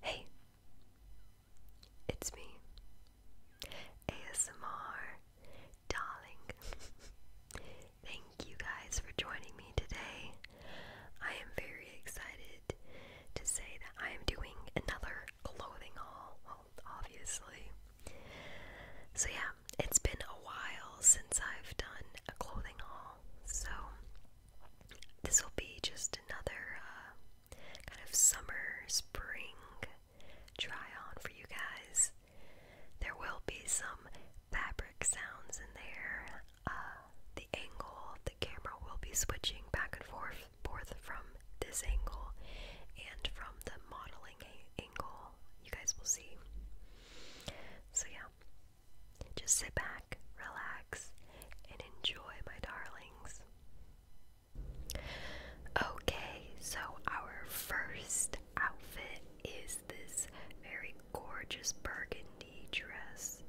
Hey, it's me, ASMR Darling. Thank you guys for joining me today. I am very excited to say that I am doing another clothing haul, well, obviously. So, yeah, it's been a while since I've done a clothing haul, so this will be just another uh, kind of summer, spring try on for you guys. There will be some fabric sounds in there. Uh, the angle of the camera will be switching back and forth, forth from this angle and from the modeling angle. You guys will see. So, yeah, just sit back, relax, and enjoy, my darlings. Okay, so our first outfit is this very gorgeous burgundy dress.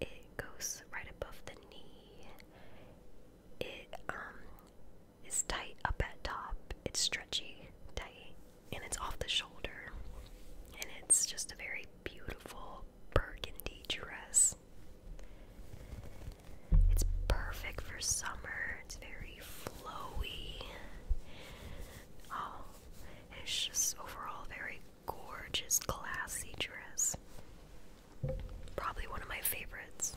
It goes right above the knee. It um is tight up at top. It's stretchy, tight, and it's off the shoulder. And it's just a very beautiful burgundy dress. It's perfect for summer. It's very flowy. Oh, it's just overall very gorgeous, classy dress. Probably one of my favorites.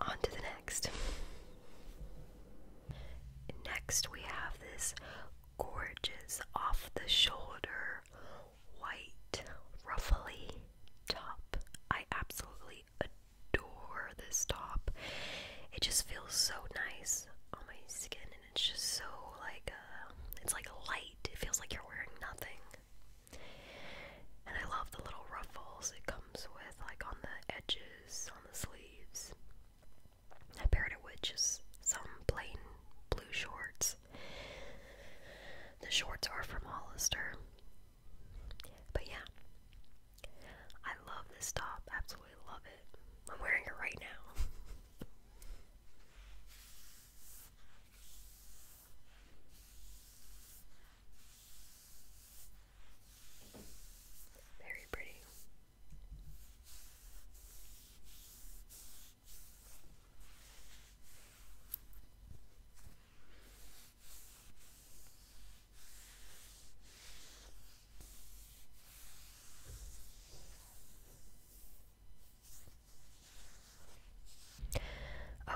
On to the next. Next, we have this gorgeous off the shoulder white ruffly top. I absolutely adore adore this top. It just feels so nice on my skin, and it's just so like uh, it's like light. It feels like you're wearing nothing. And I love the little ruffles it comes with, like on the edges, on the sleeves. I paired it with just some plain blue shorts. The shorts are from Hollister. But yeah, I love this top, absolutely love it. I'm wearing it right now. Very pretty.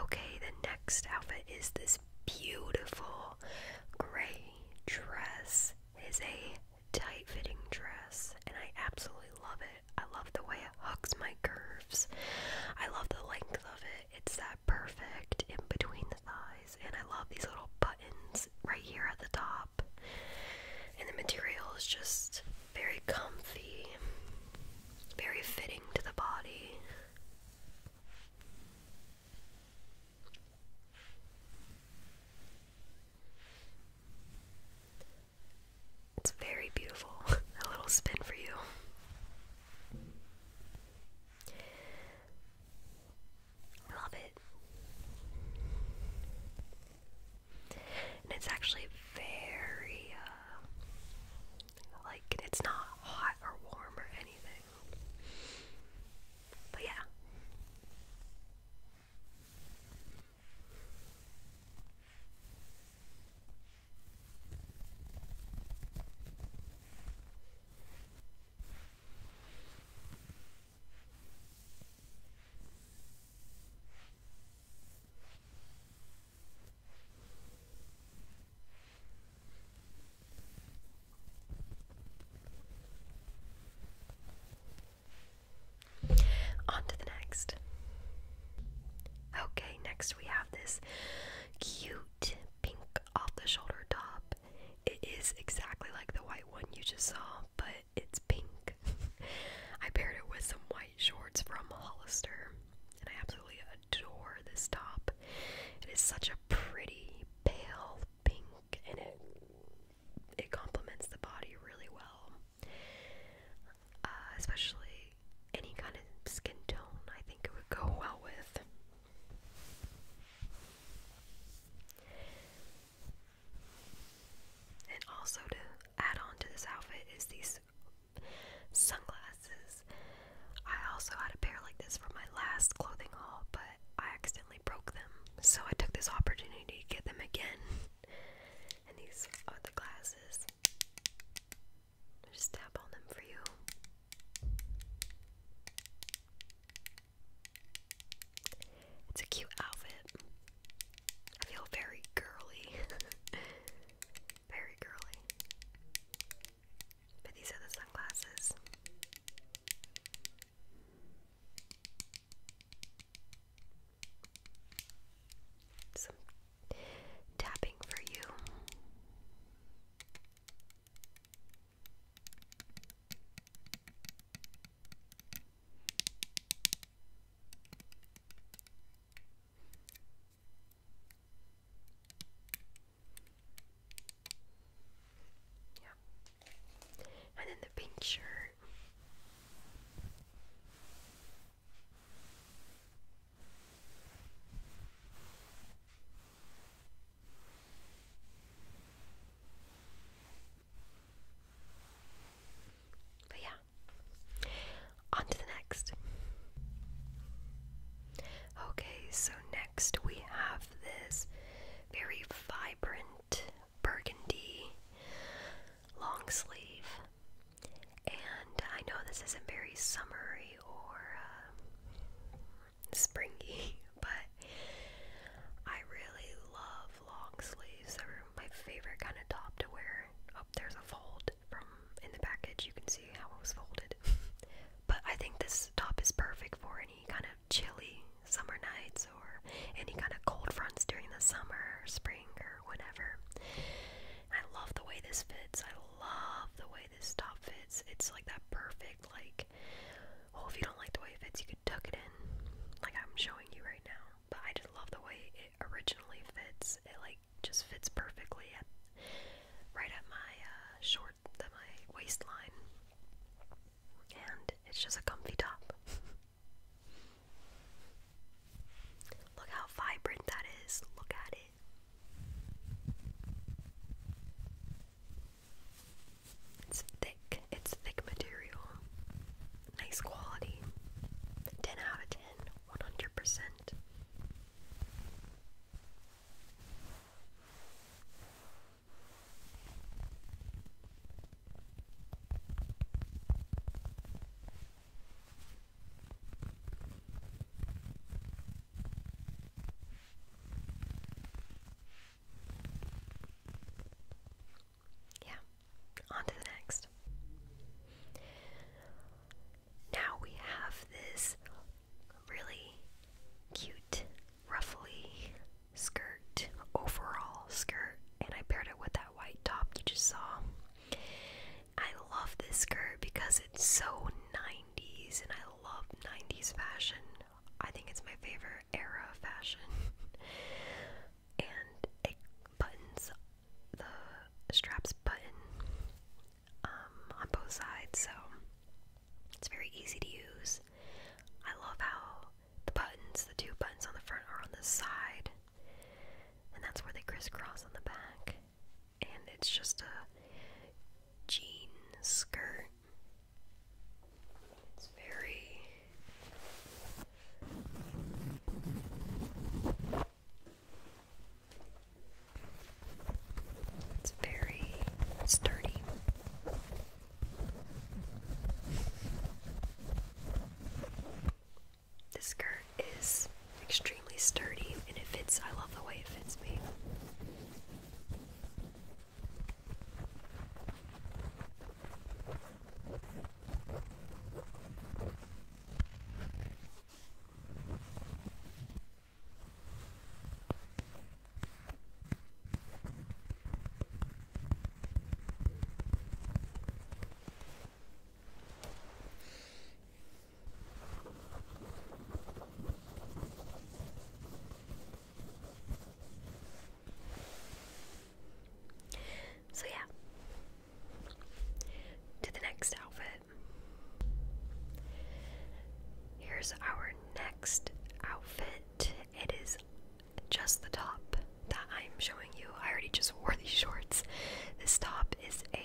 Okay, the next outfit is this beautiful gray dress. is a tight fitting dress, and I absolutely love it. I love the way it hugs my curves. I love the length of it. It's that perfect in between the thighs. And I love these little buttons right here at the top. And the material is just very comfy, very fitting to the body. It's very beautiful. A little spin for you. I love it. And it's actually very, uh, like, it's not hot or warm or anything. But yeah. On to the next. Okay, next we have this cute pink off the shoulder top. It is exactly like the white one you just saw, but it's pink. I paired it with some white shorts from Hollister, and I absolutely adore this top. It is such a pretty pale pink, and it it complements the body really well, uh, especially any kind of skin tone. I think it would go well with. And also to add on to this outfit is these sunglasses. I also had a pair like this for my last clothing haul, but I accidentally broke them. So I took this opportunity to get them again. And these are the glasses i just tap on them for you. It's a cute outfit. I feel very girly. very girly. But these are the sunglasses. Some tapping for you. Yeah. And then the pink shirt. But yeah, on to the next. Okay, so next we have this very vibrant burgundy long sleeve. And I know this isn't very summery or um, springy, but I really love long sleeves. They're my favorite kind of top to wear. Oh, there's a fold from in the package. You can see how it was folded. but I think this top is perfect for any kind of chilly summer nights or any kind of cold fronts during the summer spring or whatever. I love the way this fits. I love the way this top fits. It's like that perfect, like, well, if you don't like the way it fits, you could tuck it in, like I'm showing you right now. But I just love the way it originally fits. It, like, just fits perfectly at, right at my uh, short, at my waistline. And it's just a comfy top. Look how vibrant that is. Look at it. It's thick, it's thick material, nice quality. 10 out of 10, 100%. Yeah, on to the next. Now we have this really cute, ruffly skirt, overall skirt, and I paired it with that white top you just saw. I love this skirt because it's so 90s and I love 90s fashion. I think it's my favorite era of fashion. and it buttons the straps button um, on both sides, so it's very easy to use. I love how the buttons, the two buttons on the front, are on the side, and that's where they crisscross on the back and it's just a jean skirt. It's very it's very sturdy. This skirt is extremely sturdy and it fits. I love the way it fits me. So, yeah, to the next outfit. Here's our next outfit. It is just the top that I'm showing you. I already just wore these shorts. This top is a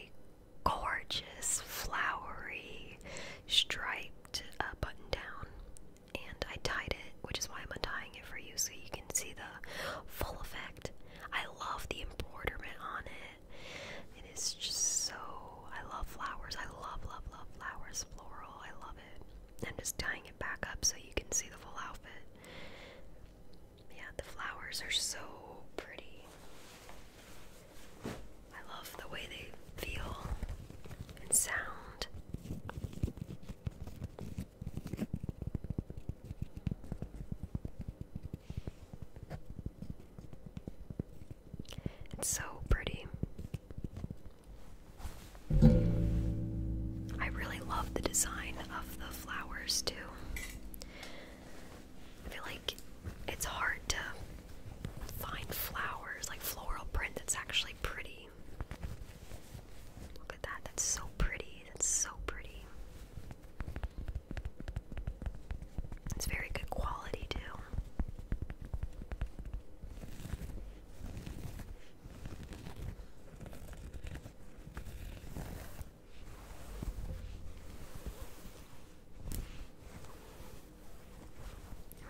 gorgeous, flowery, striped uh, button down. And I tied it, which is why I'm untying it for you so you can see the full effect. I love the embroidery on it. It is just so. I love flowers. I love, love, love flowers. Floral. I love it. I'm just tying it back up so you can see the full outfit. Yeah, the flowers are so pretty. I love the way they feel and sound. It's so pretty. I really love the design of the flowers, too. I feel like it's hard to find flowers, like floral print that's actually pretty. Look at that, that's so pretty, that's so pretty. It's very good quality, too.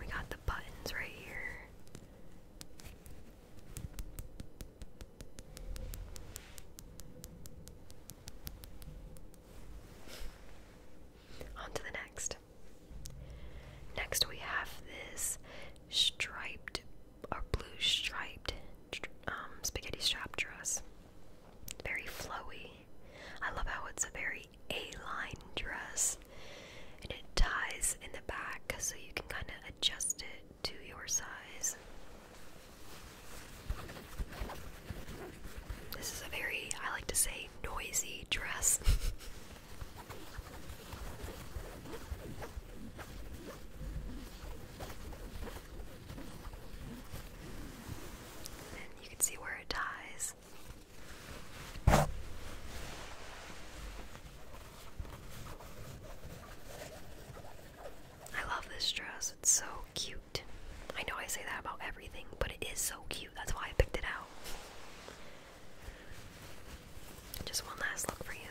We got the buttons right here. On to the next. Next, we have this striped or blue striped um, spaghetti strap dress. Very flowy. I love how it's a very A-line dress, and it ties in the back so you can kind of adjust it to your size. This is a very, I like to say, noisy dress. you can see where it dies. I love this dress. It's so cute. I know I say that about everything, but it is so cute. That's why I picked it out. Just one last look for you.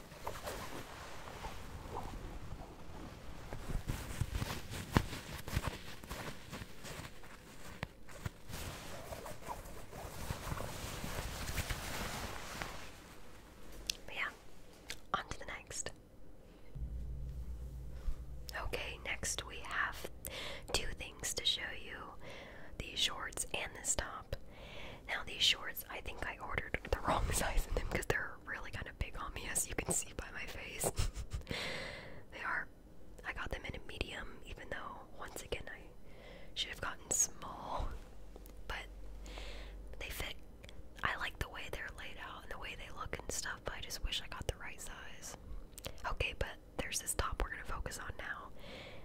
But yeah, on to the next. Okay, next we have two things to show you these shorts and this top. Now these shorts, I think I ordered the wrong size in them because they're really kind of big on me, as you can see by my face. they are. I got them in a medium, even though once again I should have gotten small. But they fit. I like the way they're laid out and the way they look and stuff. But I just wish I got the right size. Okay, but there's this top we're gonna focus on now,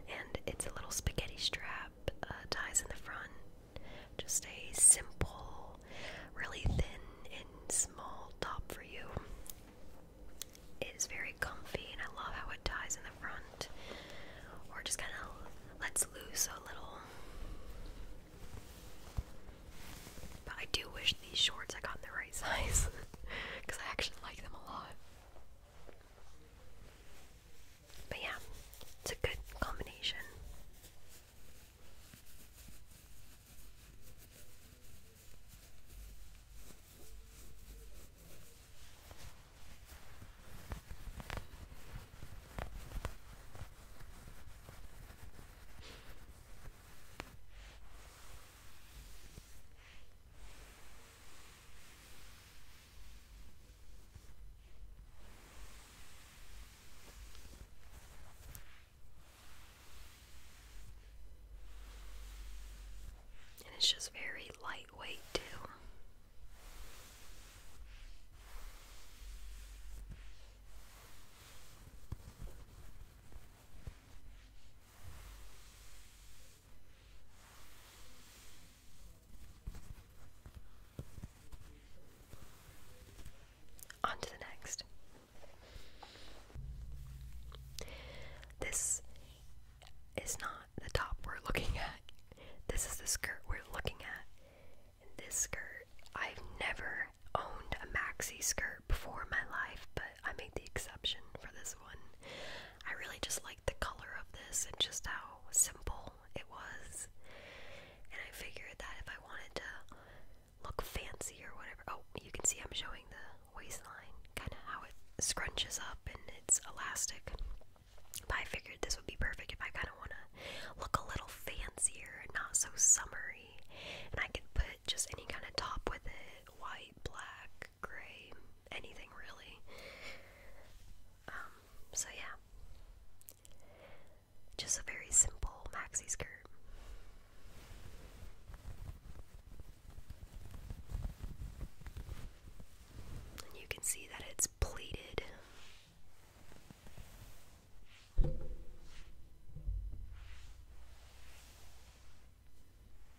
and it's a little spaghetti strap. Uh, ties in the front. Just a simple, really thin and small top for you. It is very comfy, and I love how it ties in the front, or just kind of lets loose a little. But I do wish these shorts I got in the right size because I actually like them a lot. But yeah, it's a good combination. And it's just very lightweight, too. On to the next. This is not the top we're looking at. This is the skirt we're looking at. And this skirt, I've never owned a maxi skirt before in my life, but I made the exception for this one. I really just liked the color of this and just how simple it was. And I figured that if I wanted to look fancy or whatever, oh, you can see I'm showing the waistline, kind of how it scrunches up and it's elastic. But I figured this would be perfect if I kind of want to look a little fancier and not so summery. And I could put just any kind of top with it white, black, gray, anything really. Um, so yeah. Just a very simple maxi skirt. you can see that it's pleated.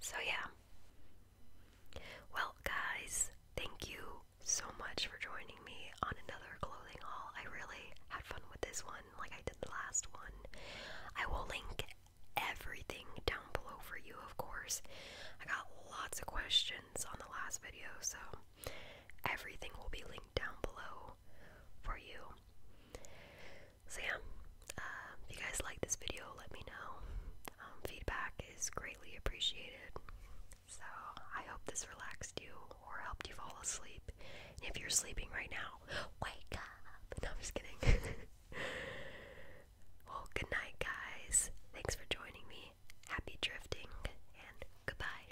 So, yeah. Well, guys, thank you so much for joining me on another clothing haul. I really had fun with this one, like I did the last one. I will link everything down below for you, of course. I got lots of questions on the last video, so everything will be linked down below for you. So yeah, um, if you guys like this video, let me know. Um, feedback is greatly appreciated. So I hope this relaxed you or helped you fall asleep. if you're sleeping right now, wake up! No, I'm just kidding. well, good night, guys. Thanks for joining me. Happy drifting, and goodbye.